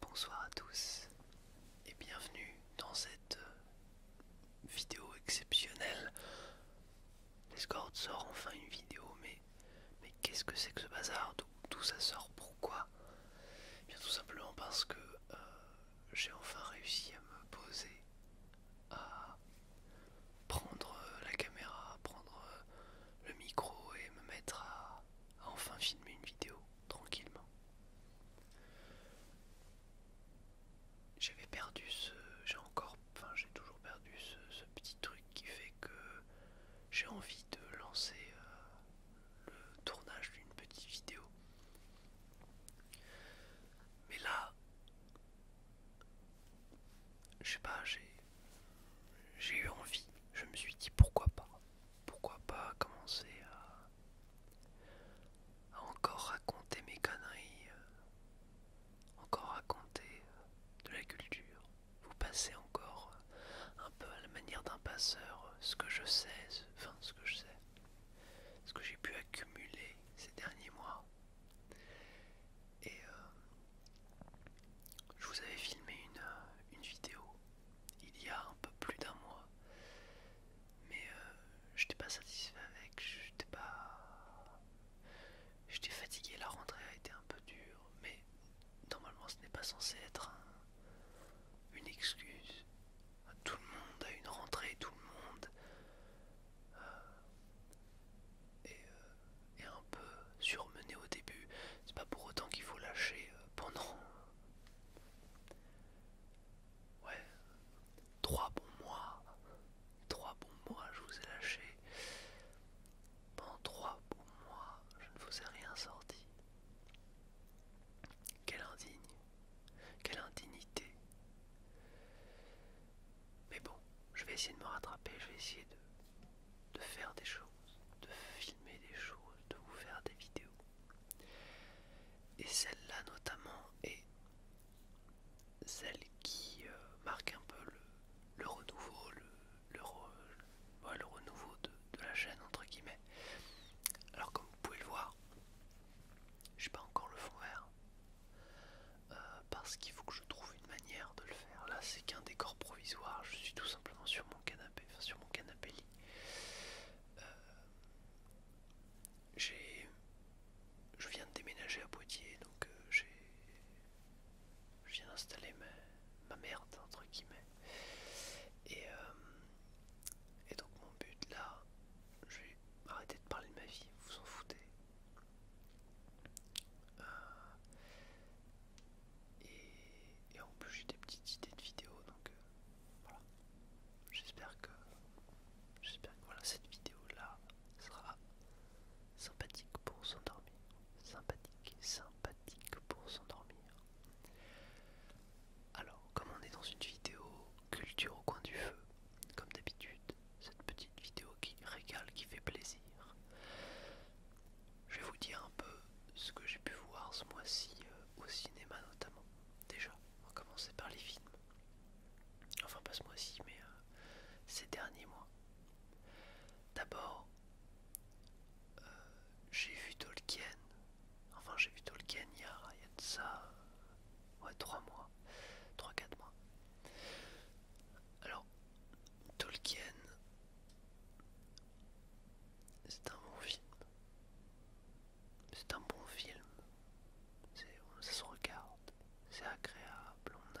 Bonsoir à tous et bienvenue dans cette euh, vidéo exceptionnelle. L'escorte sort enfin une vidéo, mais, qu'est-ce que c'est que ce bazar D'où ça sort Pourquoi eh Bien tout simplement parce que euh, j'ai enfin réussi à me poser, à prendre euh, la caméra, à prendre le micro et me mettre à enfin filmer une vidéo tranquillement. J'avais perdu ce. J'ai encore. Enfin, j'ai toujours perdu ce, petit truc qui fait que j'ai envie de lancer euh, le tournage d'une petite vidéo. Mais là. Je sais pas, j'ai. J'ai eu envie. Je me suis dit pourquoi pas pourquoi pas commencer à, encore raconter mes conneries, euh, encore raconter euh, de la culture, vous passez encore euh, un peu à la manière d'un passeur, ce que je sais, enfin ce que je sais, ce que j'ai pu accumuler ces derniers mois. Et je vous avais filmé une vidéo il y a un peu plus d'un mois. Mais euh, je n'étais pas satisfait avec, je n'étais pas. J'étais fatigué, la rentrée a été un peu dure, mais normalement ce n'est pas censé être une excuse. à Tout le monde à une rentrée, tout le monde euh, et euh, un peu surmené au début, c'est pas pour autant qu'il faut lâcher euh, pendant euh, ouais trois bons mois. Trois bons mois je vous ai lâché. Pendant trois bons mois, je ne vous ai rien sorti. Quelle indigne. Quelle indignité. Mais bon, je vais essayer de me rattraper, je vais essayer de de faire des choses, de filmer des choses, de vous faire des vidéos. Et celle-là notamment est celle qui euh, marque un peu le, renouveau, le, renouveau de, la chaîne entre guillemets. Alors comme vous pouvez le voir, j'ai pas encore le fond vert euh, parce qu'il faut que je trouve une manière de le faire. Là c'est qu'un décor provisoire, je suis tout simplement sur mon canapé sur mon canapé lit. Euh, j'ai, je viens de déménager à Poitiers, donc euh, j'ai, je viens d'installer ma, merde entre guillemets. Et, euh, et donc mon but là, je vais arrêter de parler de ma vie, vous vous en foutez. Et, en plus j'ai des petites idées de vidéos donc euh, voilà. J'espère que j'espère voilà cette vidéo là sera sympathique pour s'endormir. Sympathique, sympathique pour s'endormir. Alors comme on est dans une vidéo culture au coin du feu, comme d'habitude, cette petite vidéo qui régale, qui fait plaisir je vais vous dire un peu ce que j'ai pu voir ce mois-ci euh, au cinéma notamment. Déjà, on va commencer par les films. Enfin pas ce mois-ci, mais euh, ces derniers mois. D'abord, euh, j'ai vu Tolkien. Enfin j'ai vu Tolkien il y a, de ça ouais, 3 mois. 3-4 mois. Alors, Tolkien, c'est un bon film. C'est un bon film. Ça se regarde. C'est agréable. On a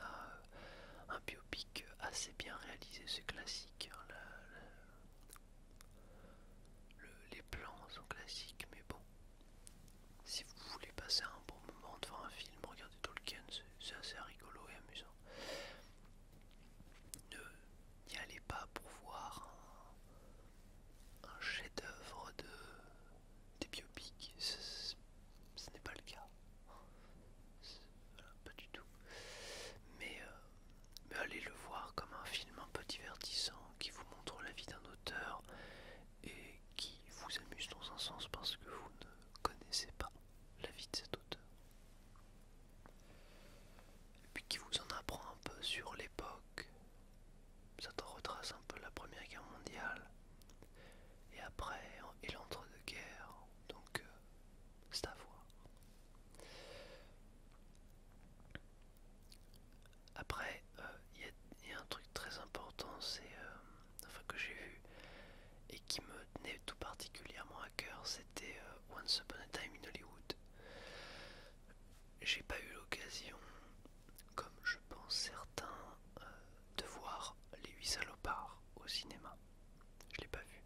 euh, un biopic assez bien réalisé. C'est classique. Hein, les plans sont classiques, mais bon. Si vous voulez passer un bon moment devant un film, regardez Tolkien, c'est assez rigolo et amusant ne n'y allez pas pour voir un, chef-d'œuvre de, des biopics, ce, n'est pas le cas, pas du tout, mais, euh, mais allez le voir comme un film un peu divertissant qui vous montre la vie d'un auteur et qui vous amuse dans un sens parce que vous ne connaissez pas la vie de cet auteur et puis qui vous en apprend un peu sur l'époque. Ça te retrace un peu la Première Guerre mondiale et après et l'entre-deux-guerres, donc euh, c'est à voir. Après, euh, il y, a un truc très important, c'est euh, enfin que j'ai vu et qui me n'est tout particulièrement à cœur, c'était euh, Once Upon a Time in Hollywood. J'ai pas eu l'occasion, comme je pense certains, euh, de voir Les Huit salopards au cinéma. Je l'ai pas vu.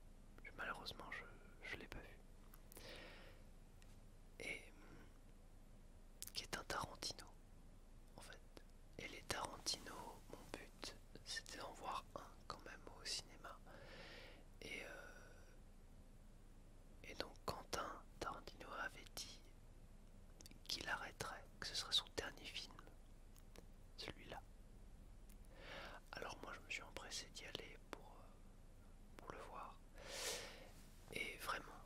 malheureusement, je, je l'ai pas vu. Et qui est un Tarantino, en fait. Et les Tarantino, mon but, c'était d'en voir un quand même au cinéma. Et, euh, et donc Quentin Tarantino avait dit qu'il arrêterait, que ce serait son dernier film, celui-là. Alors moi je me suis empressé d'y aller pour, euh, pour le voir. Et vraiment,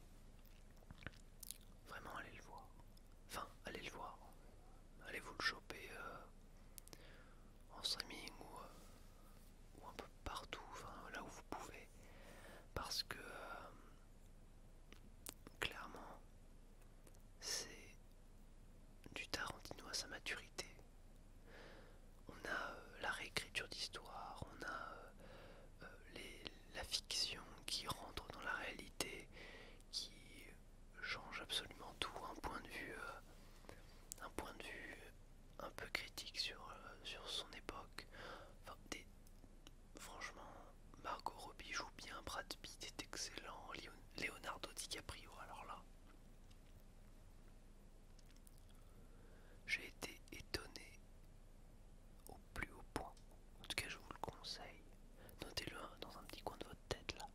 vraiment allez le voir. Enfin, allez le voir. Allez vous le choper euh, en streaming ou, ou un peu partout, là où vous pouvez, parce que euh, clairement c'est du Tarantino à sa maturité. On a euh, la réécriture d'histoire, on a euh, la fiction qui rentre dans la réalité, qui change absolument tout, un point de vue, un point de vue un peu critique sur, euh, sur son époque. Enfin, Franchement, Margot Robbie joue bien, Brad Pitt est excellent, Leonardo DiCaprio, alors là. J'ai été étonné au plus haut point. En tout cas, je vous le conseille. Notez-le dans un petit coin de votre tête là.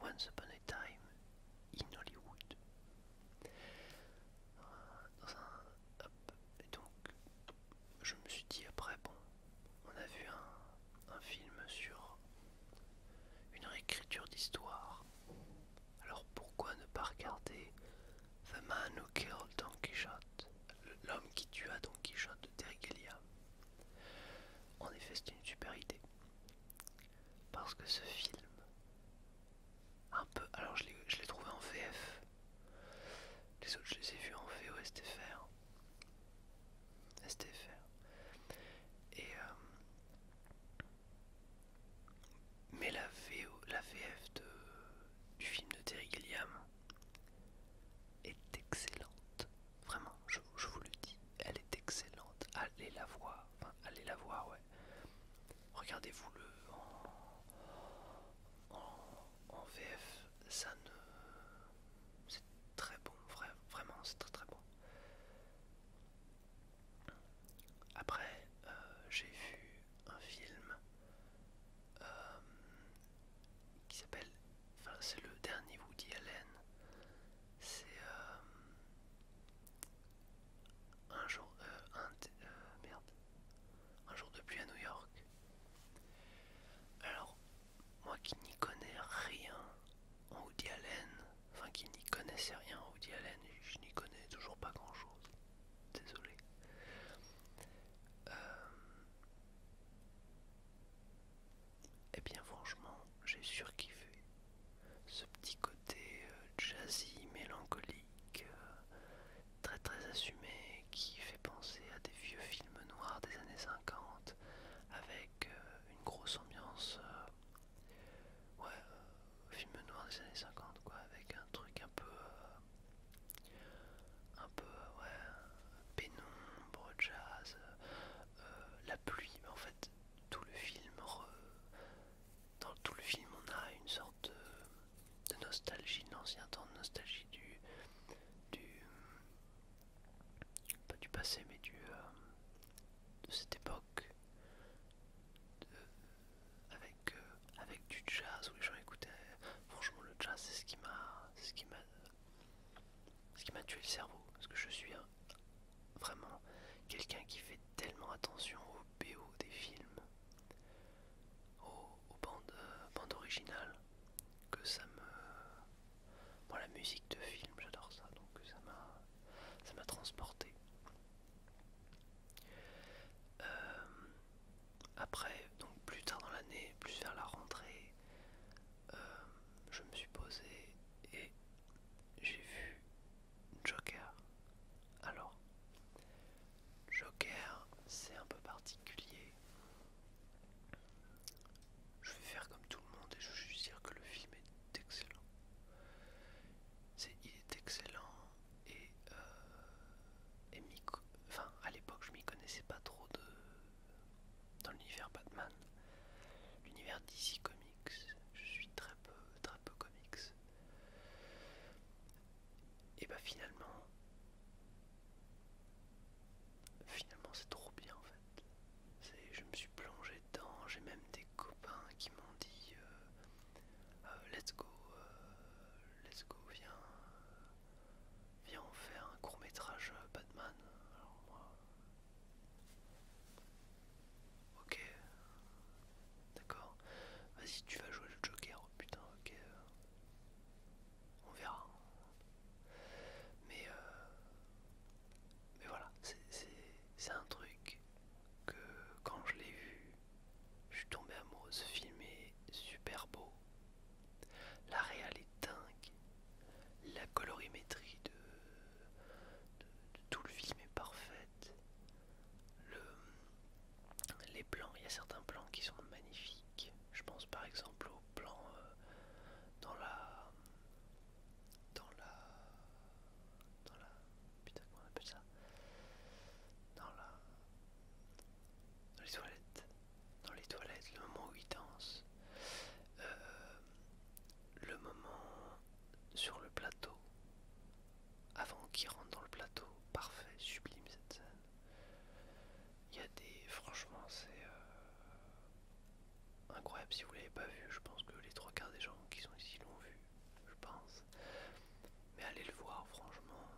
Once Upon a Time in Hollywood. Ah, et donc, je me suis dit après, bon, on a vu un, film sur une réécriture d'histoire. Alors pourquoi ne pas regarder The Man Who Killed Don Quichotte, l'homme qui tua Don Quichotte de Terry En effet, c'était une super idée parce que ce film, un peu, alors je l'ai trouvé en VF, les autres je les ai vus en VOSTFR, STFR, et euh, mais la, VF du film de Terry Gilliam est excellente, vraiment, je vous le dis, elle est excellente, allez la voir allez la voir, ouais. Regardez-vous-le en, VF, ça ne. C'est très bon, vraiment, c'est très très bon. Après, euh, j'ai vu un film euh, qui s'appelle. Enfin, c'est le dernier Woody Allen. C'est. Euh, un jour, euh, euh, merde, un jour de pluie à New York. Alors, moi qui n'y connais rien en Woody Allen, enfin qui n'y connaissais rien en Woody Allen, je n'y connais toujours pas grand chose, désolé. Euh, eh et bien franchement, j'ai surkiffé ce petit côté euh, jazzy, mélancolique, euh, très très assumé, qui fait penser à des vieux films noirs des années 50, avec euh, une grosse ambiance, ouais, films noirs des années 50 quoi, avec un truc un peu, un peu, ouais, pénombre, jazz, la pluie, mais en fait tout le film dans tout le film on a une sorte de, nostalgie de l'ancien temps, de nostalgie du, du pas du passé mais du euh, de cette époque avec, euh, avec du jazz où les gens franchement le jazz c'est ce qui m'a ce qui m'a ce qui m'a tué le cerveau parce que je suis hein. Vraiment, quelqu'un qui fait tellement attention au BO des films, aux, euh, bandes, originales, que ça me... bon, la musique de film, j'adore ça, donc ça m'a ça m'a transporté. Euh, après, donc plus tard dans l'année, plus vers la rentrée, euh, je me suis posé et j'ai vu Joker. Alors, Joker, c'est un peu particulier. Je vais faire comme tout le monde et je veux dire que le film est excellent. il est excellent et, euh, enfin, à l'époque je m'y connaissais pas trop de, dans l'univers Batman. L'univers DC Comics, je suis très peu Drapeau Comics. Et bah finalement, finalement c'est trop bien en fait. Je me suis plongé dedans, j'ai même des copains qui m'ont dit euh, euh, let's go, euh, let's go, viens, viens on fait un court métrage Batman. Alors moi, Ok. D'accord. Vas-y, tu vas jouer le Joker. Oh putain, ok. On verra. Mais, euh, mais voilà, c'est un truc que quand je l'ai vu, je suis tombé amoureux. Ce film est super beau. La réal est dingue. La colorimétrie de, de tout le film est parfaite. Le, les plans, il y a certains plans qui sont magnifiques. Je pense par exemple au plan euh, dans la. Dans la. Dans la. Putain, comment on appelle ça Dans la. Dans les toilettes. Dans les toilettes, le moment où il danse. Euh, le moment sur le plateau, avant qu'il rentre dans le plateau, parfait, sublime cette scène. Il y a des. Franchement, c'est incroyable. Si vous l'avez pas vu, je pense que les trois quarts des gens qui sont ici l'ont vu, je pense. Mais allez le voir, franchement,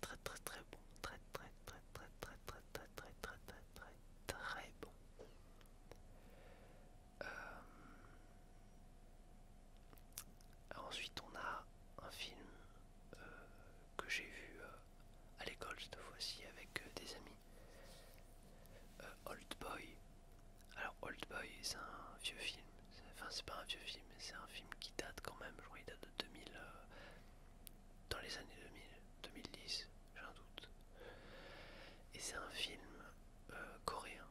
très très très bon, très très très très très très très très très très très très bon. Euh, ensuite, on a un film euh, que j'ai vu euh, à l'école cette fois-ci avec des amis. Old Boy. Alors, Old Boy, c'est un vieux film. Enfin, c'est pas un vieux film, c'est un film qui date quand même. Je crois qu'il date de 2000. dans les années 2000, 2010, j'ai un doute. Et c'est un film euh, coréen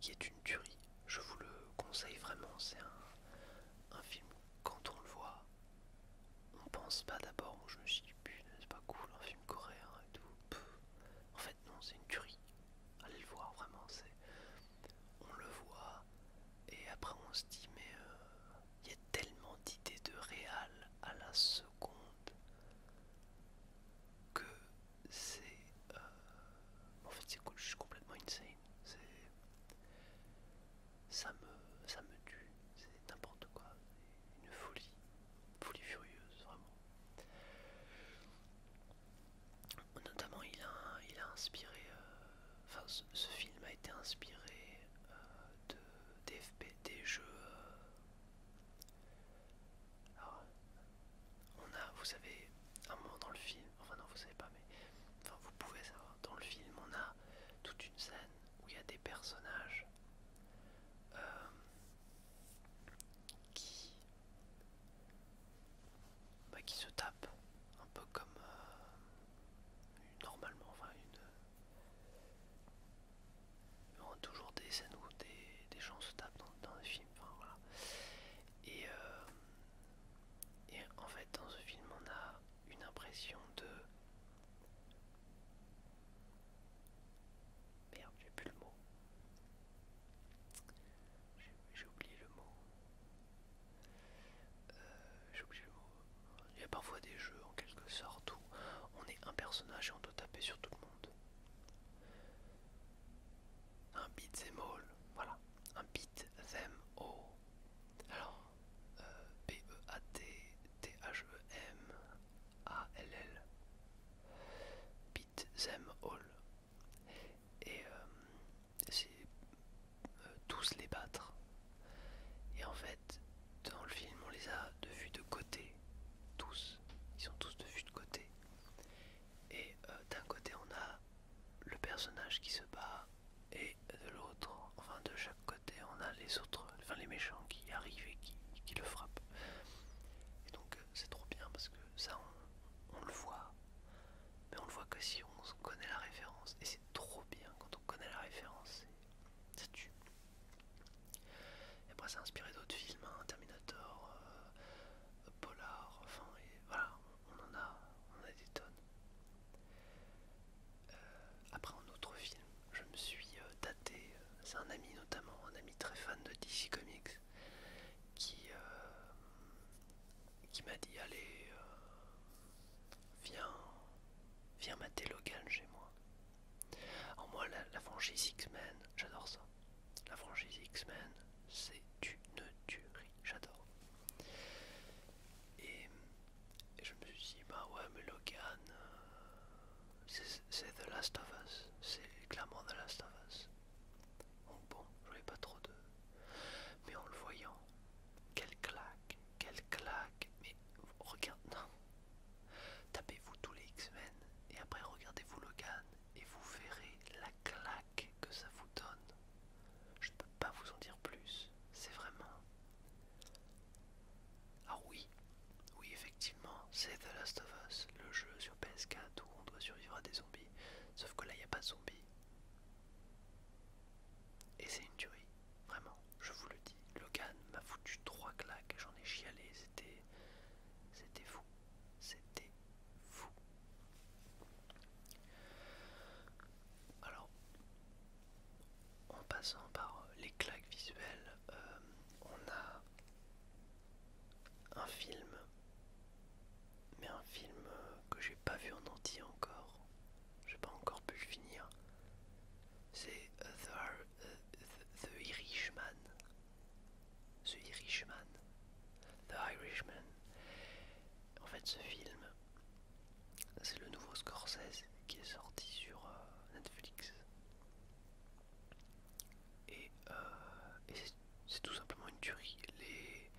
qui est une tuerie. Je vous le conseille vraiment, c'est un, film quand on le voit, on pense pas d'abord, je me suis dit putain c'est pas cool un film coréen et tout. En fait non c'est une tuerie. Allez le voir vraiment c'est. On le voit et après on se dit mais euh, il y a tellement d'idées de réal à la seconde que c'est. Euh, en fait, c'est je suis complètement insane. Ça me, ça me tue, c'est n'importe quoi. Une folie, folie furieuse, vraiment. Notamment, il a, il a inspiré. Euh, enfin, ce, film a été inspiré euh, de, des, des jeux. Alors, on a, vous savez, un moment dans le film, enfin non, vous savez pas, mais enfin vous pouvez savoir, dans le film, on a toute une scène où il y a des personnages euh, qui, bah, qui se tapent, un peu comme euh, normalement, enfin une on a toujours des scènes où des, gens se tapent dans, le film, enfin voilà. Et, euh, et en fait, dans ce film, on a une impression de. Merde, j'ai plus le mot. J'ai oublié le mot. Euh, j'ai oublié le mot. Il y a parfois des jeux en quelque sorte où on est un personnage et on doit taper sur tout le monde. Un beat them all, voilà, un beat them all. Alors, B-E-A-T-T-H-E-M-A-L-L, euh, e beat them all. Et euh, c'est euh, tous les battre. Et en fait, dans le film, on les a de vue de côté tous, ils sont tous de vue de côté. Et euh, d'un côté on a le personnage qui se bat et de l'autre, enfin de chaque côté on a les autres, enfin les méchants qui arrivent et qui, le frappent. Et donc euh, c'est trop bien parce que ça on, on le voit, mais on le voit que si on connaît la référence. Et c'est trop bien quand on connaît la référence, ça tue. Et après, a inspiré d'autres films, hein, Terminator, euh, Polar, enfin, et voilà, on, en a, des tonnes. Euh, après, un autre film, je me suis daté, euh, c'est un ami notamment, un ami très fan de DC Comics, qui, m'a dit Allez, viens, viens mater Logan chez moi. En moi, la, franchise X-Men, j'adore ça. La franchise X-Men, c'est une tuerie, j'adore. Et, je me suis dit, bah ouais, mais Logan, euh, c'est The Last of Us, c'est clairement The Last of Us. Bon, je voulais pas trop de. Mais en le voyant, quel claque, quel claque, mais regarde, non, Tapez-vous tous les X-Men et après regardez-vous Logan et vous verrez la claque que ça vous donne. Je ne peux pas vous en dire plus, c'est vraiment... Ah oui, oui effectivement, c'est The Last of Us, le jeu sur PS4 où on doit survivre à des zombies, sauf que là il n'y a pas de zombies. Et c'est une tuerie, vraiment, je vous le dis. Logan m'a foutu trois claques, j'en ai chialé, c'était c'était fou. C'était fou. Alors, en passant par euh, les claques visuelles, euh, on a un film, mais un film euh, que j'ai pas vu en entier encore. J'ai pas encore pu le finir. C'est The Irishman. The Irishman. The Irishman. En fait, ce film, c'est le nouveau Scorsese qui est sorti sur euh, Netflix. Et, euh, c'est tout simplement une tuerie. Les,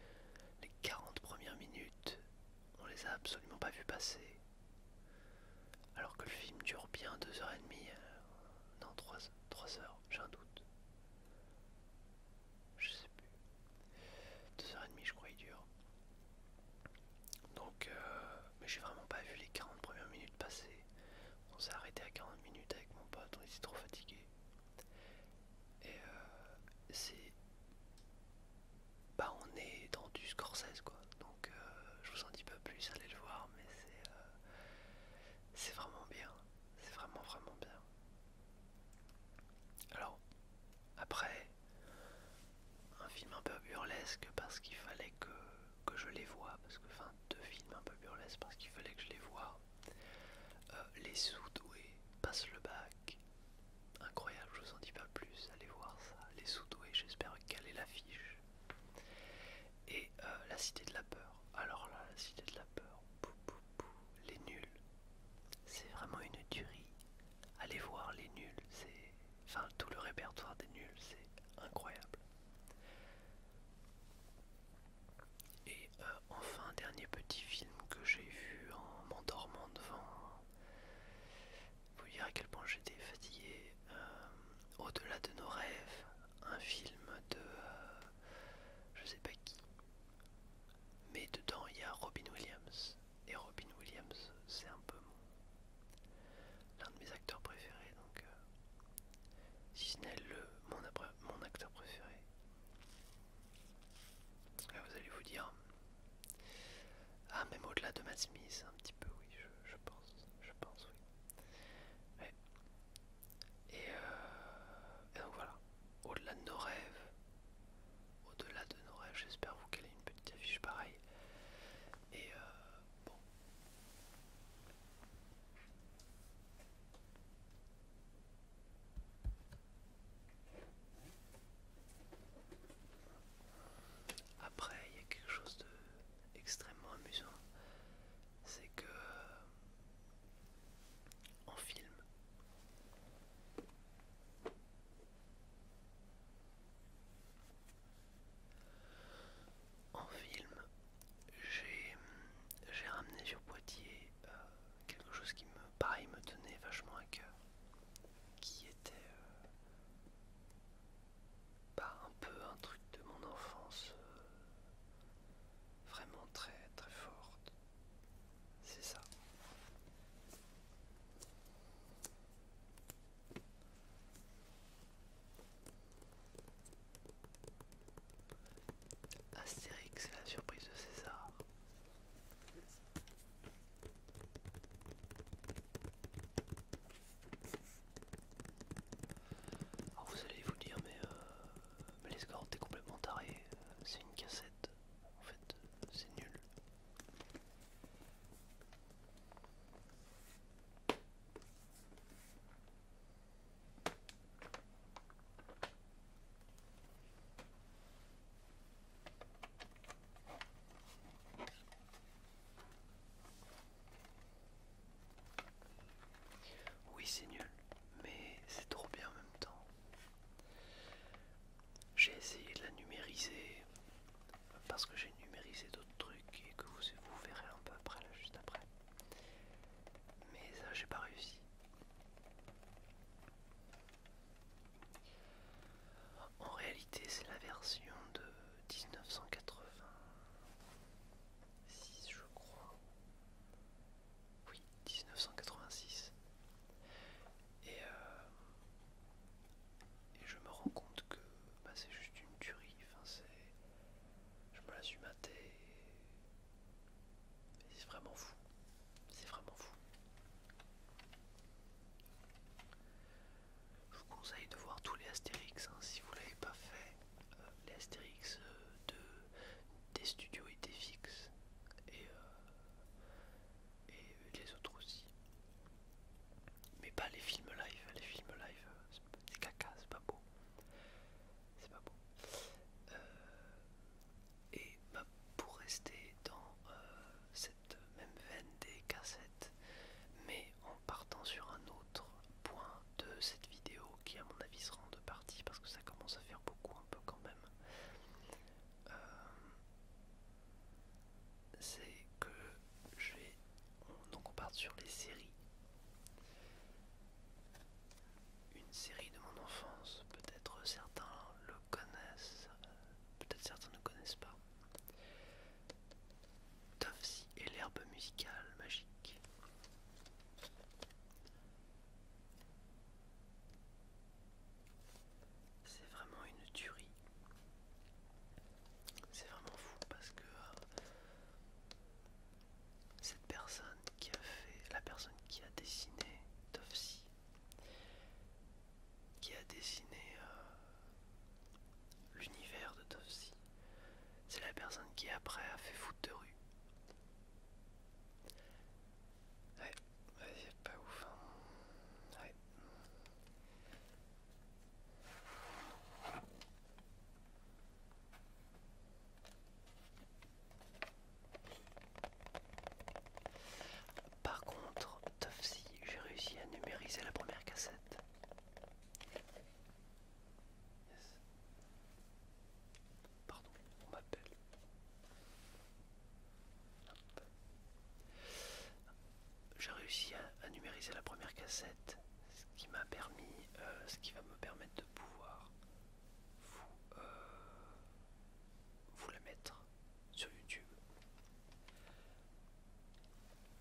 40 premières minutes, on les a absolument pas vu passer. Alors que le film dure bien 2h30, euh, non 3h, 3, heures, j'ai un doute. Je sais plus. 2h30 je crois il dure. Donc euh, mais j'ai vraiment pas vu les 40 premières minutes passer. On s'est arrêté à 40 minutes avec mon pote, on était trop fatigué. Et euh, c'est. Bah on est dans du 16 quoi. Donc euh, je vous en dis pas plus, allez le voir, mais c'est euh, c'est vraiment bien. C'est vraiment vraiment bien. Alors, après, un film un peu burlesque parce qu'il fallait que, je les voie, parce que, enfin, deux films un peu burlesques parce qu'il fallait que je les voie. les euh, les Soudoués Passe le bac. Incroyable, je vous en dis pas plus, allez voir ça. Les sous Soudoués, j'espère qu'elle est l'affiche. Et euh, la cité de la peur. Alors là, la cité de la peur. Les nuls. C'est vraiment une tuerie. Allez voir les nuls. C'est... Enfin, tout le répertoire des nuls, c'est incroyable. Et euh, enfin, dernier petit film que j'ai vu en m'endormant devant. Vous dire à quel point j'étais fatigué. Euh, au-delà de nos rêves, un film de euh, je sais pas qui mais dedans il y a Robin Williams et Robin Williams c'est un peu mon l'un de mes acteurs préférés donc euh, si ce n'est le mon, mon acteur préféré ah, vous allez vous dire ah même au-delà de Matt Smith un petit peu oui je, pense je pense oui euh, et, donc voilà, au-delà de nos rêves, au-delà de nos rêves, j'espère vous qu'elle est une petite affiche pareille. Et euh, bon. Après, il y a quelque chose d'extrêmement amusant c'est que euh, en film en film j'ai ramené sur Poitiers euh, quelque chose qui me pareil me tenait vachement à cœur qui était euh, bah, un peu un truc de mon enfance euh, vraiment très très forte. C'est ça. Astérix, la surprise de César vous allez vous dire mais, euh, mais les complètement taré, c'est une cassette, en fait c'est nul. Oui, c'est nul, mais c'est trop bien en même temps. J'ai essayé de la numériser parce que j'ai numérisé d'autres trucs et que vous, vous verrez un peu après, là, juste après. Mais ça, j'ai pas réussi. En réalité, c'est la version de 1980. 6 je crois. Oui, 1986. Et, euh, et je me rends compte que bah, c'est juste une tuerie. je me la suis matée. c'est vraiment fou. C'est vraiment fou. Je vous conseille de voir tous les Astérix hein, si vous ne l'avez pas fait les Astérix euh, de, des studios étaient fixes et, euh, et les autres aussi. Mais pas les films live, les films live c'est caca, c'est pas beau. C'est pas beau. Euh, et bah, pour rester dans cette même veine des cassettes, mais en partant sur un autre point de cette vidéo qui à mon avis sera en deux parties parce que ça commence à faire beaucoup un peu quand même euh, c'est que je vais donc on part sur les séries une série de mon enfance peut-être certains le connaissent euh, peut-être certains ne connaissent pas et l'herbe musicale magique. C'est vraiment une tuerie. C'est vraiment fou parce que euh, cette personne qui a fait, la personne qui a dessiné Tofsi. qui a dessiné euh, l'univers de Topsy c'est la personne qui après a fait foutre de rue. Ouais, pas ouf. Hein. Ouais. Par contre, Tofsi, j'ai réussi à numériser la première cassette. Pardon, on m'appelle. J'ai réussi à, numériser la première cassette, ce qui m'a permis, euh, ce qui va me permettre de pouvoir vous, euh, vous la mettre sur YouTube.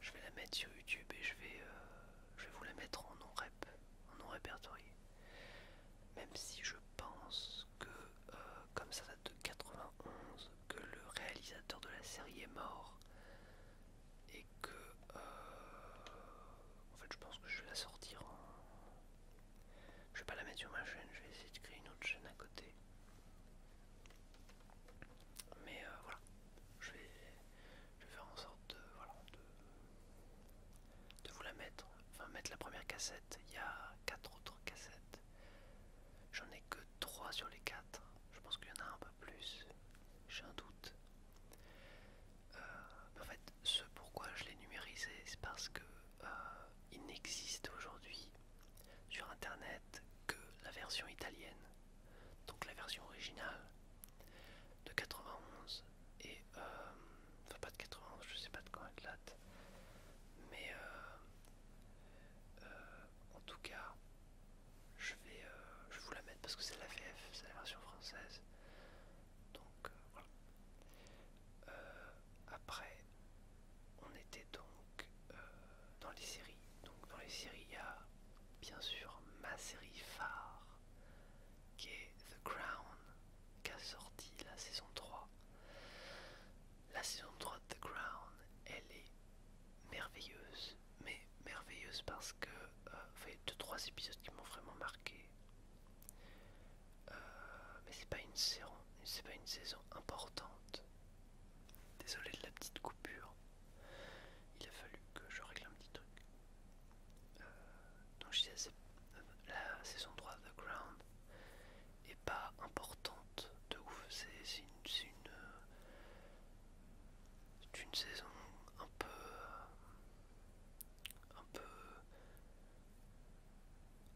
Je vais la mettre sur YouTube et je vais, euh, je vais vous la mettre en non rep non répertorié Même si je pense que, euh, comme ça date de 91, que le réalisateur de la série est mort et que, euh, en fait, je pense que je vais la sortir en. Je vais pas la mettre sur ma chaîne, je vais essayer de créer une autre chaîne à côté. Mais euh, voilà, je vais, je vais faire en sorte de, voilà, de, vous la mettre. Enfin, mettre la première cassette. Il y a 4 autres cassettes. J'en ai que 3 sur les 4. Je pense qu'il y en a un peu plus. J'ai un doute. Euh, en fait, ce pourquoi je l'ai numérisé, c'est parce que euh, il n'existe aujourd'hui sur internet que la version italienne. Donc la version originale de 91 et euh, enfin pas de 91 je sais pas de quand elle date mais euh, euh, en tout cas je vais je vous la mettre parce que c'est la VF c'est la version française donc voilà après on était donc dans les séries donc dans les séries il y a bien sûr ma série phare qui est The Crown, qui a sorti la saison 3. La saison 3 de The Crown, elle est merveilleuse, mais merveilleuse parce que euh, enfin, il y a deux trois épisodes qui m'ont vraiment marqué. Euh, mais c'est pas une saison, c'est pas une saison importante. Désolé de la petite coupure. Il a fallu que je règle un petit truc donc la saison 3 The Ground est pas importante de ouf, c'est une, saison un peu, un peu,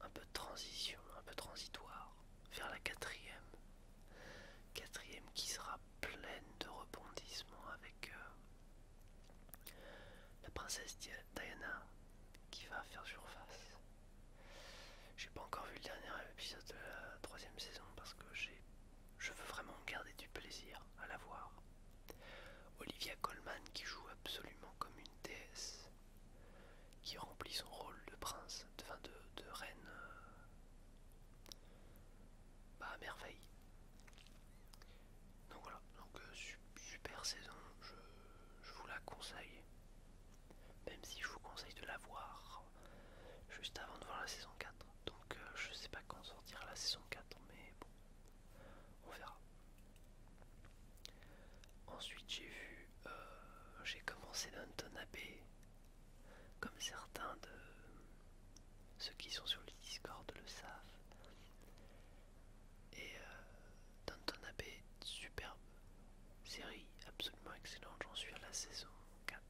un peu de transition, un peu transitoire vers la quatrième, quatrième qui sera pleine de rebondissements avec euh, la princesse Diana qui va faire surface. J'ai pas encore vu le dernier épisode de la troisième saison parce que je veux vraiment garder du plaisir à la voir. Olivia Colman qui joue absolument comme une déesse, qui remplit son rôle de prince, de, reine, euh, bah, à merveille. Donc voilà, euh, super saison, je, vous la conseille. Même si je vous conseille de la voir juste avant de voir la saison 4. Donc euh, je sais pas quand sortira la saison 4, mais bon, on verra. Ensuite j'ai vu, euh, j'ai commencé ton Abbey, comme certains de ceux qui sont sur le Discord le savent. Et euh, Danton Abbé, superbe série, absolument excellente. J'en suis à la saison 4.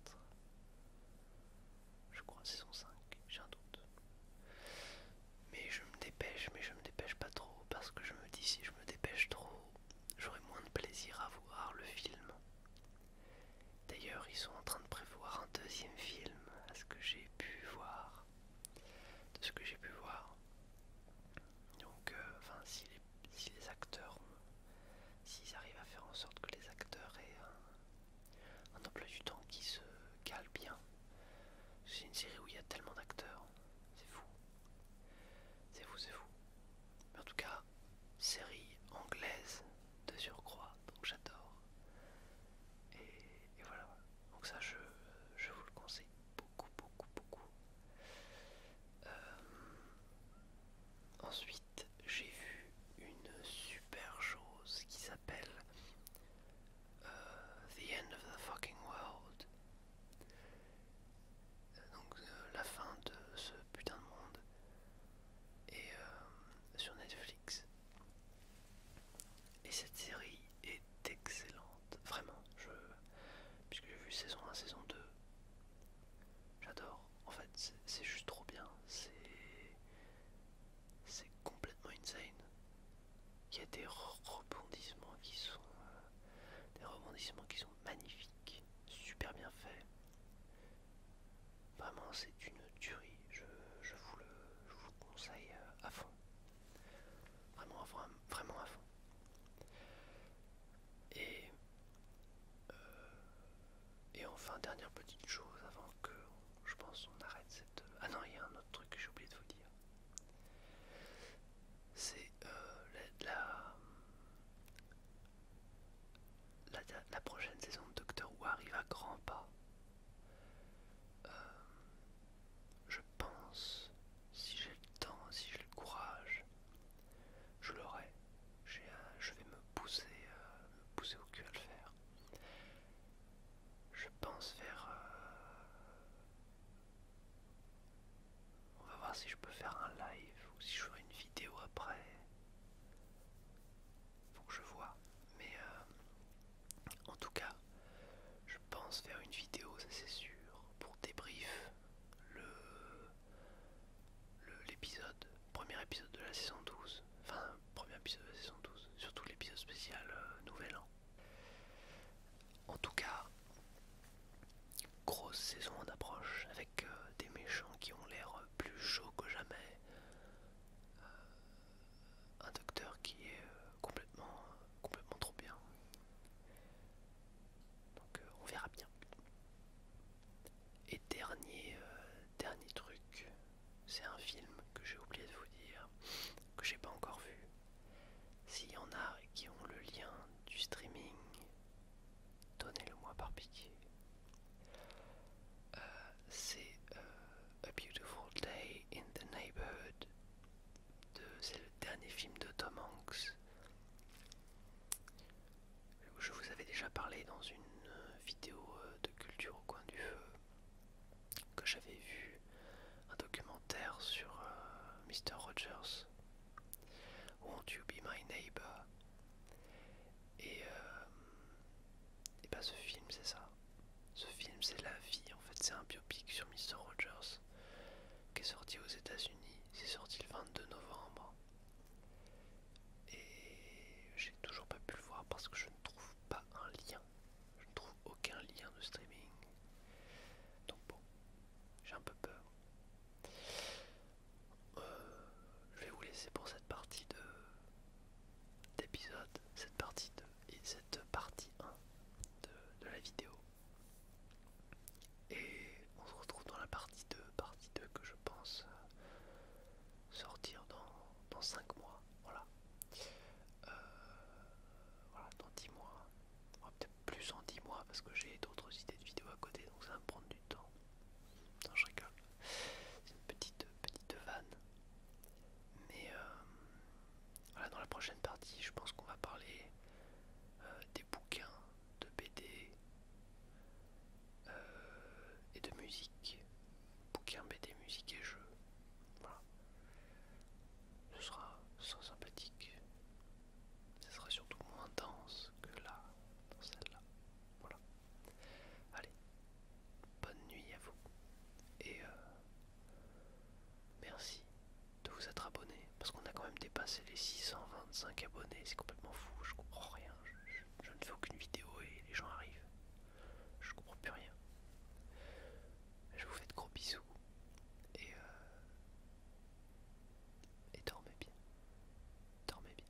Je crois saison 5, j'ai un doute. Mais je me dépêche, mais je me dépêche pas trop parce que je me dis si je me dépêche trop, j'aurai moins de plaisir à voir le film. D'ailleurs, ils sont en train de prévoir un deuxième film, à ce que j'ai pu voir de ce que j'ai pu voir. Donc, euh, enfin, si les, acteurs, s'ils arrivent à faire en sorte que les acteurs aient un, emploi du temps qui se cale bien, c'est une série où il y a tellement d'acteurs, c'est fou, c'est fou, c'est fou. Mais en tout cas, série anglaise de surcroît, donc j'adore. et voilà. Donc ça, je, vous le conseille beaucoup, beaucoup, beaucoup. Euh, ensuite, j'ai vu une super chose qui s'appelle euh, The End of the Fucking World. Euh, donc la fin de ce putain de monde. Et sur Netflix. Et cette série est excellente, vraiment, je, puisque j'ai vu saison 1, saison 2, j'adore, en fait c'est juste trop bien, c'est complètement insane. Il y a des rebondissements qui sont, euh, des rebondissements qui sont magnifiques, super bien faits. Vraiment, c'est une tuerie je, vous, le, conseille euh, à fond. Vraiment, à fond. Euh, et, enfin, dernière petite chose avant que je pense on arrête cette... Euh, ah non, il y a un autre truc que j'ai oublié de vous dire. C'est la, la, la, la prochaine saison de Doctor Who arrive à grands pas. Euh, je pense, si j'ai le temps, si j'ai le courage, je l'aurai. Je vais me pousser, euh, me pousser au cul à le faire. Je pense faire... Euh, on va voir si je peux faire un live ou si je ferai une vidéo après. Faut que je vois. Mais en tout cas, je pense faire une vidéo, ça c'est sûr, pour débrief l'épisode, le, l'épisode premier épisode de la saison 12, enfin, premier épisode de la saison 12, surtout l'épisode spécial euh, Nouvel An. En tout cas, grosse saison en approche avec euh, des méchants qui ont l'air euh, plus chauds que jamais un docteur qui est euh, complètement, euh, complètement trop bien. Donc euh, on verra bien. Et dernier, dernier truc, c'est un film que j'ai oublié de vous dire, que j'ai pas encore vu. S'il y en a qui ont le lien du streaming, donnez-le moi par pitié. c'est a Beautiful Day in the Neighborhood. C'est le dernier film de Tom Hanks. Je vous avais déjà parlé dans une euh, vidéo euh, de culture au coin du feu que j'avais vu un documentaire sur euh, Mr. Rogers. Won't You Be My Neighbor? Et et bah ce film c'est ça. Ce film c'est la vie, en fait c'est un biopic sur Mr. Rogers qui est sorti aux États-Unis. C'est sorti le 22 novembre. Et j'ai toujours pas pu le voir parce que je ne trouve pas un lien. Je ne trouve aucun lien de streaming. Donc bon, j'ai un peu peur. Euh, je vais vous laisser pour cette partie d'épisode, cette partie de et cette partie 1 de, la vidéo. Et on se retrouve dans la partie 2, partie 2 que je pense euh, sortir dans, dans 5 mois. Voilà. Euh, voilà, dans 10 mois. Peut-être plus en 10 mois parce que j'ai d'autres idées de vidéos à côté donc ça va me prendre du temps. Non, je rigole. C'est une petite, petite vanne. Mais, euh, voilà, dans la prochaine partie, je pense qu'on va parler euh, des bouquins, de BD euh, et de musique. Bouquins, BD, musique et jeux. Voilà. Ce sera sympathique. Ce sera surtout moins dense que là, dans celle-là. Voilà. Allez, bonne nuit à vous. Et euh, Merci de vous être abonné, parce qu'on a quand même dépassé les 625 abonnés, c'est complètement fou, je comprends rien, je, ne fais aucune vidéo et les gens arrivent, je comprends plus rien. Je vous fais de gros bisous et, euh, et dormez bien, dormez bien.